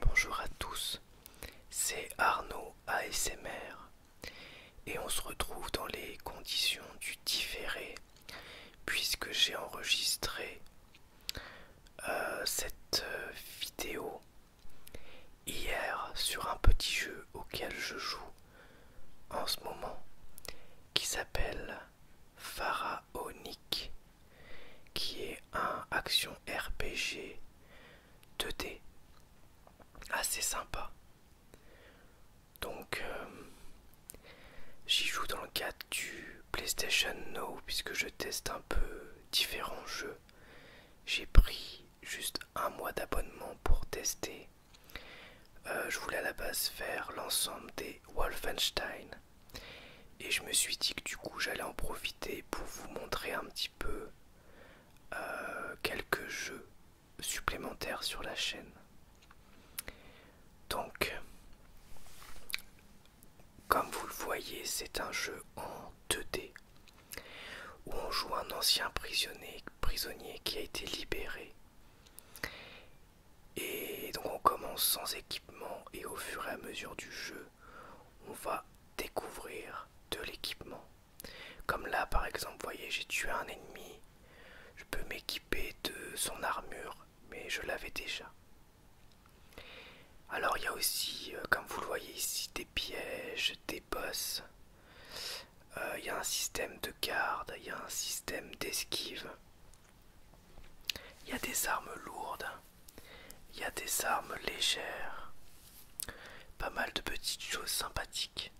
Bonjour à tous, c'est Arnaud ASMR et on se retrouve dans les conditions du différé puisque j'ai enregistré euh, cette euh, vidéo hier sur un petit jeu auquel je joue en ce moment qui s'appelle Pharaonic qui est un action RPG 2D assez sympa. Donc euh, j'y joue dans le cadre du PlayStation Now puisque je teste un peu différents jeux. J'ai pris juste un mois d'abonnement pour tester. Euh, je voulais à la base faire l'ensemble des Wolfenstein. Et je me suis dit que du coup j'allais en profiter pour vous montrer un petit peu euh, quelques jeux supplémentaires sur la chaîne. Donc, comme vous le voyez, c'est un jeu en 2D où on joue un ancien prisonnier, qui a été libéré. Et donc on commence sans équipement et au fur et à mesure du jeu, on va découvrir de l'équipement. Comme là par exemple, voyez, j'ai tué un ennemi, je peux m'équiper de son armure, mais je l'avais déjà. Alors il y a aussi, euh, comme vous le voyez ici, des pièges, des bosses Il euh, y a un système de garde, il y a un système d'esquive. Il y a des armes lourdes, il y a des armes légères. Pas mal de petites choses sympathiques.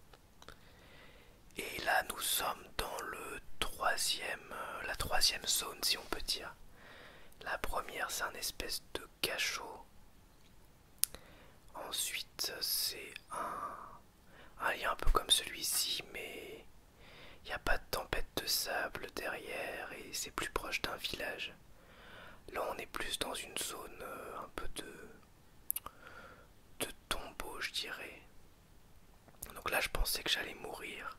Et là, nous sommes dans le troisième, euh, la troisième zone, si on peut dire. La première, c'est un espèce de cachot Ensuite, c'est un, lien un peu comme celui-ci, mais il n'y a pas de tempête de sable derrière et c'est plus proche d'un village. Là, on est plus dans une zone euh, un peu de, de tombeau, je dirais. Donc là, je pensais que j'allais mourir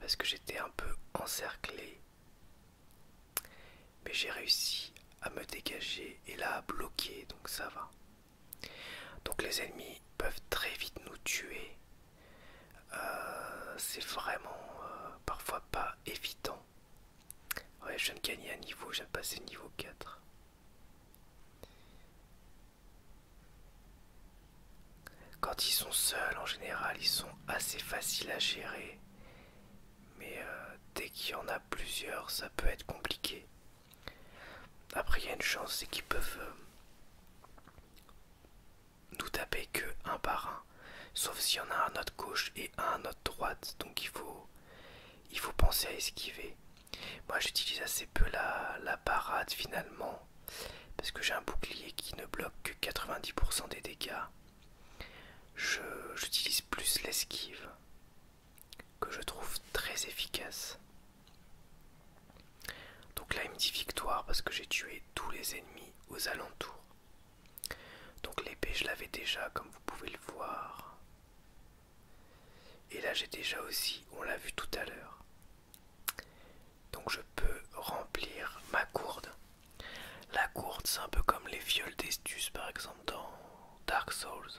parce que j'étais un peu encerclé mais j'ai réussi à me dégager et là à bloquer, donc ça va. Donc les ennemis peuvent très vite nous tuer. Euh, c'est vraiment euh, parfois pas évident. Ouais, je viens de gagner un niveau, j'ai passé de niveau 4. Quand ils sont seuls, en général, ils sont assez faciles à gérer mais euh, dès qu'il y en a plusieurs, ça peut être compliqué. Après, il y a une chance, c'est qu'ils peuvent euh, nous taper que un par un, sauf s'il y en a un à notre gauche et un à notre droite, donc il faut, penser à esquiver. Moi, j'utilise assez peu la, la parade finalement, parce que j'ai un bouclier qui ne bloque que 90% des dégâts. J'utilise plus l'esquive que je trouve très efficace. Donc là il me dit victoire parce que j'ai tué tous les ennemis aux alentours. Donc l'épée je l'avais déjà comme vous pouvez le voir. Et là j'ai déjà aussi, on l'a vu tout à l'heure donc je peux remplir ma courde. La courde, c'est un peu comme les fioles d'Estus par exemple dans Dark Souls.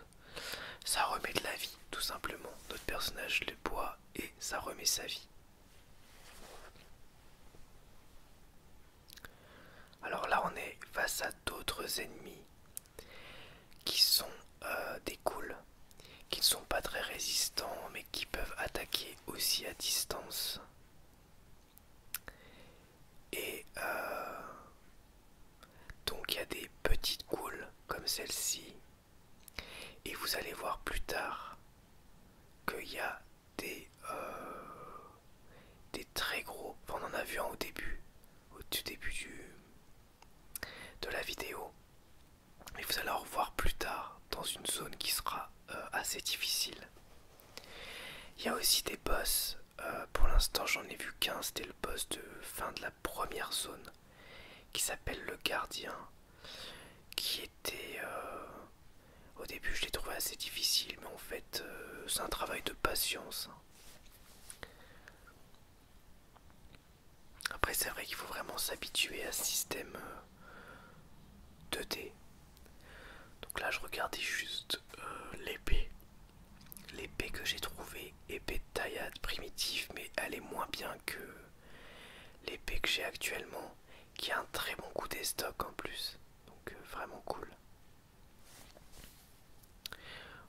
Ça remet de la vie, tout simplement. Notre personnage le boit et ça remet sa vie. Alors là, on est face à d'autres ennemis qui sont euh, des cools, qui ne sont pas très résistants mais qui peuvent attaquer aussi à distance. Et euh, donc il y a des petites goules comme celle-ci. Et vous allez voir plus tard qu'il y a des, euh, des très gros. on en a vu un au début, au tout début du, de la vidéo et vous allez en revoir plus tard dans une zone qui sera euh, assez difficile. Il y a aussi des boss, euh, pour l'instant j'en ai vu qu'un, c'était le boss de fin de la première zone qui s'appelle le gardien, qui était... Euh, au début je l'ai trouvé assez difficile, mais en fait c'est un travail de patience. Après, c'est vrai qu'il faut vraiment s'habituer à ce système 2D. Euh, Donc là, je regardais juste euh, l'épée. L'épée que j'ai trouvée, épée de taillade primitive, mais elle est moins bien que l'épée que j'ai actuellement, qui a un très bon coup stock en plus. Donc euh, vraiment cool.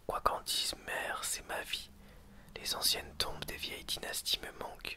Quoi qu'en dise, mère, c'est ma vie. Les anciennes tombes des vieilles dynasties me manquent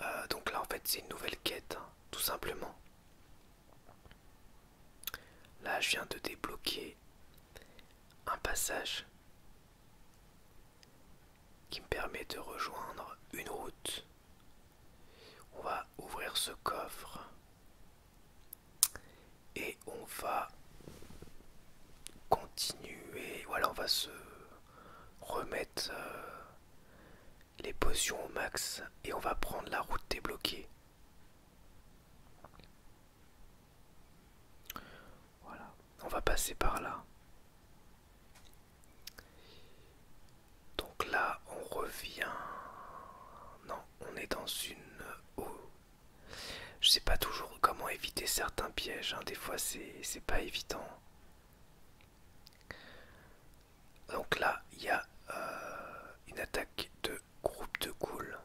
Euh, donc là en fait c'est une nouvelle quête, hein, tout simplement. Là je viens de débloquer un passage qui me permet de rejoindre une route. On va ouvrir ce coffre et on va continuer. Voilà, on va se remettre euh, les potions au max et on va prendre la route débloquée. Voilà, on va passer par là. Donc là, on revient. Non, on est dans une eau. Je sais pas toujours comment éviter certains pièges. Hein. Des fois, c'est pas évident. Donc là, il y a euh, une attaque de groupe de cool.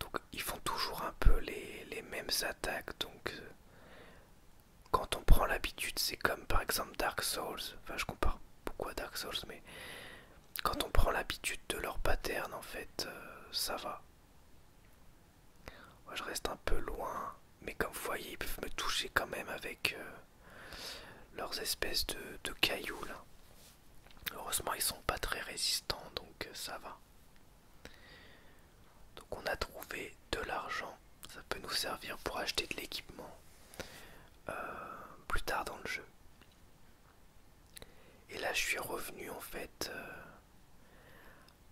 Donc ils font toujours un peu les, mêmes attaques. Donc euh, quand on prend l'habitude, c'est comme par exemple Dark Souls. Enfin, je compare beaucoup Dark Souls, mais quand on prend l'habitude de leur pattern, en fait, euh, ça va je reste un peu loin, mais comme vous voyez, ils peuvent me toucher quand même avec euh, leurs espèces de, cailloux Heureusement, ils sont pas très résistants, donc euh, ça va. Donc on a trouvé de l'argent, ça peut nous servir pour acheter de l'équipement euh, plus tard dans le jeu. Et là, je suis revenu en fait euh,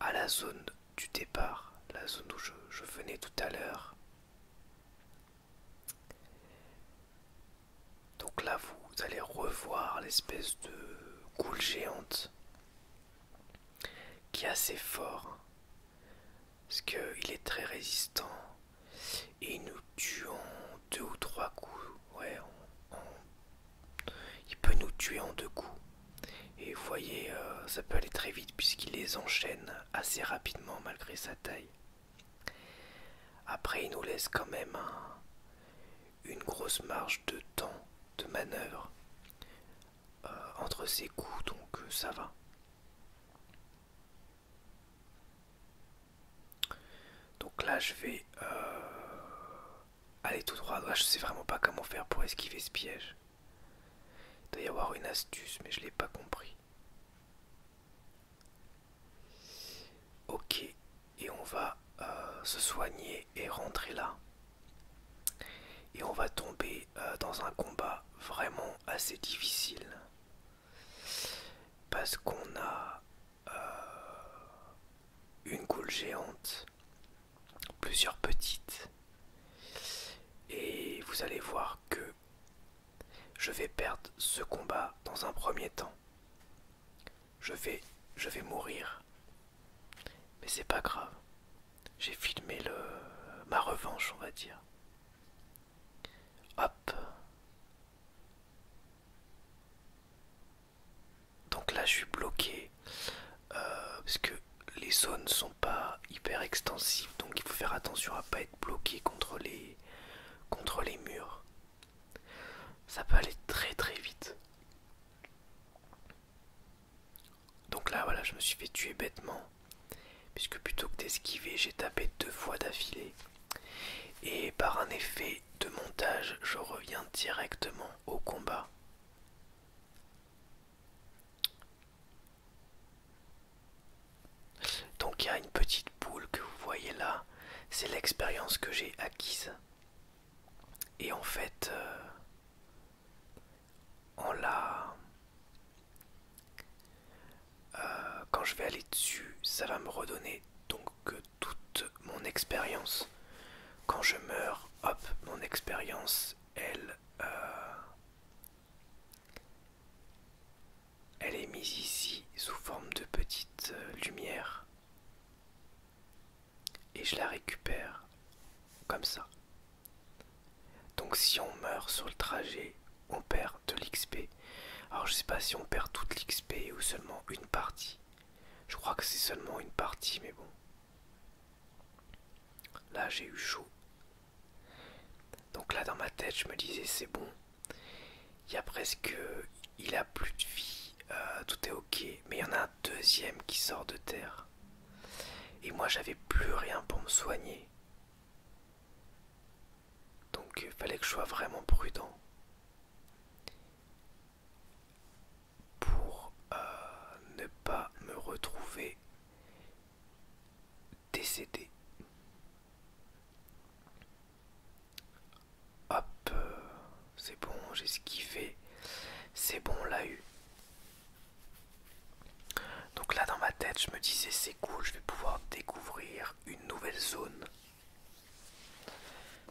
à la zone du départ, la zone où je, venais tout à l'heure. Donc là, vous allez revoir l'espèce de coule géante qui est assez fort parce qu'il est très résistant et nous tuons deux ou trois coups, ouais, il peut nous tuer en deux coups. Et vous voyez, euh, ça peut aller très vite puisqu'il les enchaîne assez rapidement malgré sa taille. Après, il nous laisse quand même une grosse marge de temps de manœuvre euh, entre ses coups, donc euh, ça va. Donc là, je vais euh, aller tout droit. je je sais vraiment pas comment faire pour esquiver ce piège. Il doit y avoir une astuce, mais je l'ai pas compris. Ok, et on va euh, se soigner et rentrer là. Et on va tomber euh, dans un combat vraiment assez difficile. Parce qu'on a euh, une goule géante, plusieurs petites. Et vous allez voir que je vais perdre ce combat dans un premier temps. Je vais, je vais mourir. Mais c'est pas grave. J'ai filmé le, ma revanche, on va dire. Hop. Donc là je suis bloqué euh, parce que les zones ne sont pas hyper extensives donc il faut faire attention à pas être bloqué contre les contre les murs. Ça peut aller très très vite. Donc là voilà je me suis fait tuer bêtement puisque plutôt que d'esquiver j'ai tapé deux fois d'affilée et par un effet de montage, je reviens directement au combat. Donc il y a une petite boule que vous voyez là, c'est l'expérience que j'ai acquise. Et en fait, euh, on la... Euh, quand je vais aller dessus, ça va me redonner donc toute mon expérience. Quand je meurs, hop, mon expérience, elle, euh, elle est mise ici sous forme de petite euh, lumière et je la récupère comme ça. Donc si on meurt sur le trajet, on perd de l'XP. Alors je sais pas si on perd toute l'XP ou seulement une partie. Je crois que c'est seulement une partie, mais bon. Là j'ai eu chaud. Donc là dans ma tête je me disais c'est bon. Il y a presque... Il a plus de vie. Euh, tout est ok. Mais il y en a un deuxième qui sort de terre. Et moi j'avais plus rien pour me soigner. Donc il fallait que je sois vraiment prudent pour euh, ne pas me retrouver décédé. Hop, euh, c'est bon, j'ai skiffé, C'est bon, on l'a eu. Donc là dans ma tête je me disais c'est cool je vais pouvoir découvrir une nouvelle zone.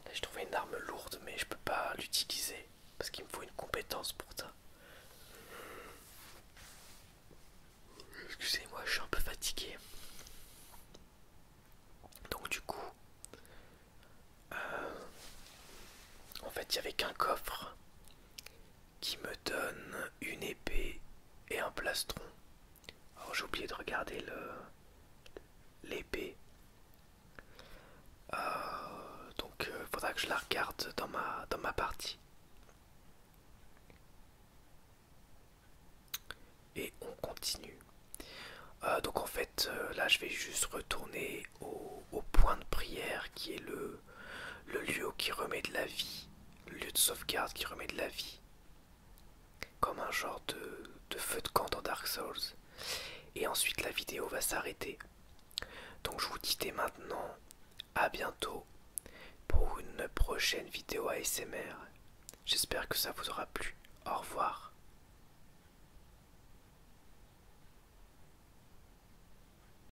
Là j'ai trouvé une arme lourde mais je peux pas l'utiliser parce qu'il me faut une compétence pour ça. Excusez-moi je suis un peu fatigué. Donc du coup euh, en fait il y avait qu'un coffre qui me donne une épée et un plastron. Alors j'ai oublié de regarder l'épée. Euh, donc il euh, faudra que je la regarde dans ma, partie. Et on continue. Euh, donc en fait, là je vais juste retourner au point de prière qui est le le lieu qui remet de la vie, le lieu de sauvegarde qui remet de la vie, comme un genre de, feu de camp dans Dark Souls. Et ensuite la vidéo va s'arrêter. Donc je vous dis dès maintenant à bientôt pour une prochaine vidéo ASMR. J'espère que ça vous aura plu. Au revoir.